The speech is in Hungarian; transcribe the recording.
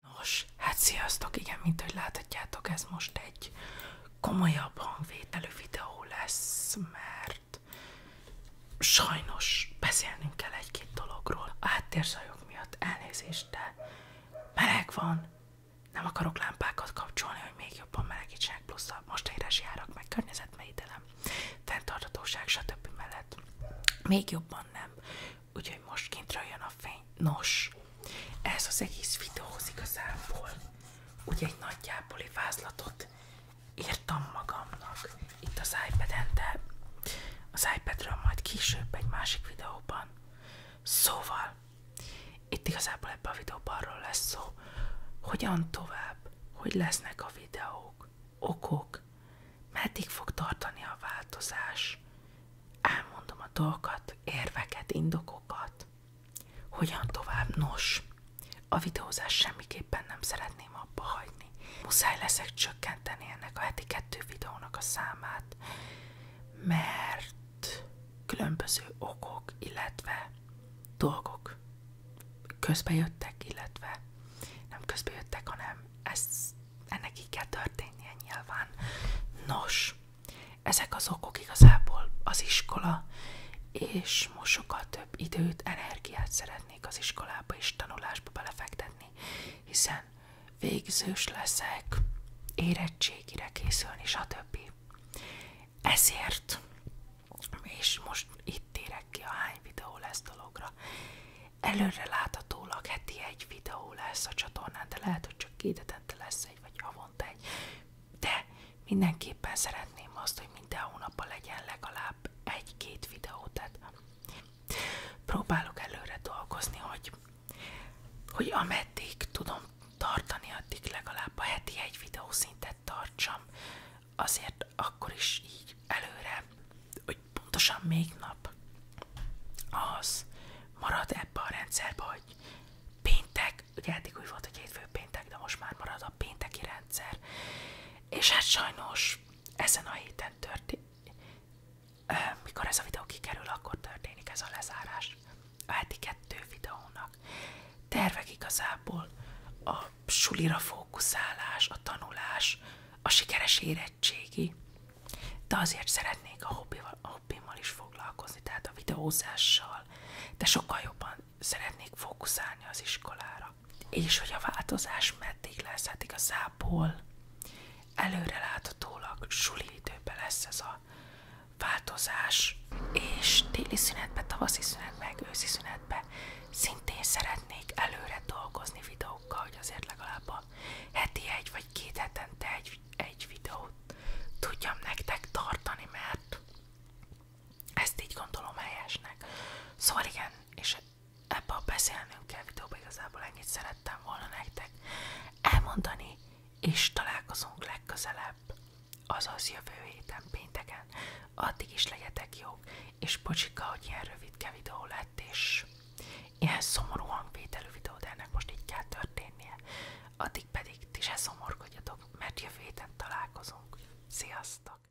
Nos, hát sziasztok, igen, mint hogy láthatjátok, ez most egy komolyabb hangvételű videó lesz, mert sajnos beszélnünk kell egy-két dologról. A háttérzajok miatt elnézést, de meleg van, nem akarok lámpákat kapcsolni, hogy még jobban melegítsenek, plusz a most éres járak, meg környezetvédelem, fenntarthatóság, stb. mellett még jobban nem úgyhogy most kintről jön a fény. Nos, ez az egész videóhoz igazából úgy egy nagyjáboli vázlatot írtam magamnak itt az iPad-en, de az iPadről majd később egy másik videóban. Szóval, itt igazából ebben a videóban arról lesz szó, hogyan tovább, hogy lesznek a videók, okok, meddig fog tartani a változás. Elmondom a dolgokat, érveket, indokokat. Hogyan tovább? Nos, a videózás semmiképpen nem szeretném abba hagyni. Muszáj leszek csökkenteni ennek a heti kettő videónak a számát, mert különböző okok, illetve dolgok közbejöttek, illetve nem közbejöttek, hanem ez, ennek így kell történnie nyilván. Nos, ezek az okok igazából az iskola, és most sokkal több időt, energiát szeretnék az iskolába és tanulásba belefektetni, hiszen végzős leszek, érettségire készülni, stb. Ezért és most itt térek ki a hány videó lesz dologra. Előre láthatólag heti egy videó lesz a csatornán, de lehet, hogy csak két hetente lesz egy, vagy havonta egy. De mindenképpen szeretném azt, hogy minden hónapban legyen legalább egy-két videó. Tehát próbálok előre dolgozni, hogy, hogy ameddig tudom tartani, addig legalább a heti egy videószintet tartsam, azért akkor is így előre, hogy pontosan még nap az marad ebbe a rendszerbe, hogy péntek, ugye eddig úgy volt, hogy hétfő péntek, de most már marad a pénteki rendszer, és hát sajnos ezen a héten történt, mikor ez a videó kikerül, akkor történik ez a lezárás a heti kettő videónak. Tervek igazából a sulira fókuszálás, a tanulás, a sikeres érettségi, de azért szeretnék a, hobbival, a hobbimmal is foglalkozni, tehát a videózással, de sokkal jobban szeretnék fókuszálni az iskolára. És hogy a változás meddig lesz, hát igazából Előreláthatólag suli időben lesz ez a változás, és téli szünetbe, tavaszi szünetbe, meg őszi szünetbe szintén szeretnék előre dolgozni videókkal, hogy azért legalább a heti egy vagy két hetente egy, egy videót tudjam nektek tartani, mert ezt így gondolom helyesnek. Szóval igen, és ebbe a beszélnünk kell videóban, igazából ennyit szerettem volna nektek elmondani, és találkozunk legközelebb, azaz jövő héten pénteken. Addig is legyetek jók, és bocsika, hogy ilyen rövidke videó lett, és ilyen szomorú hangvételű videó, de ennek most így kell történnie. Addig pedig ti se szomorkodjatok, mert jövő héten találkozunk. Sziasztok!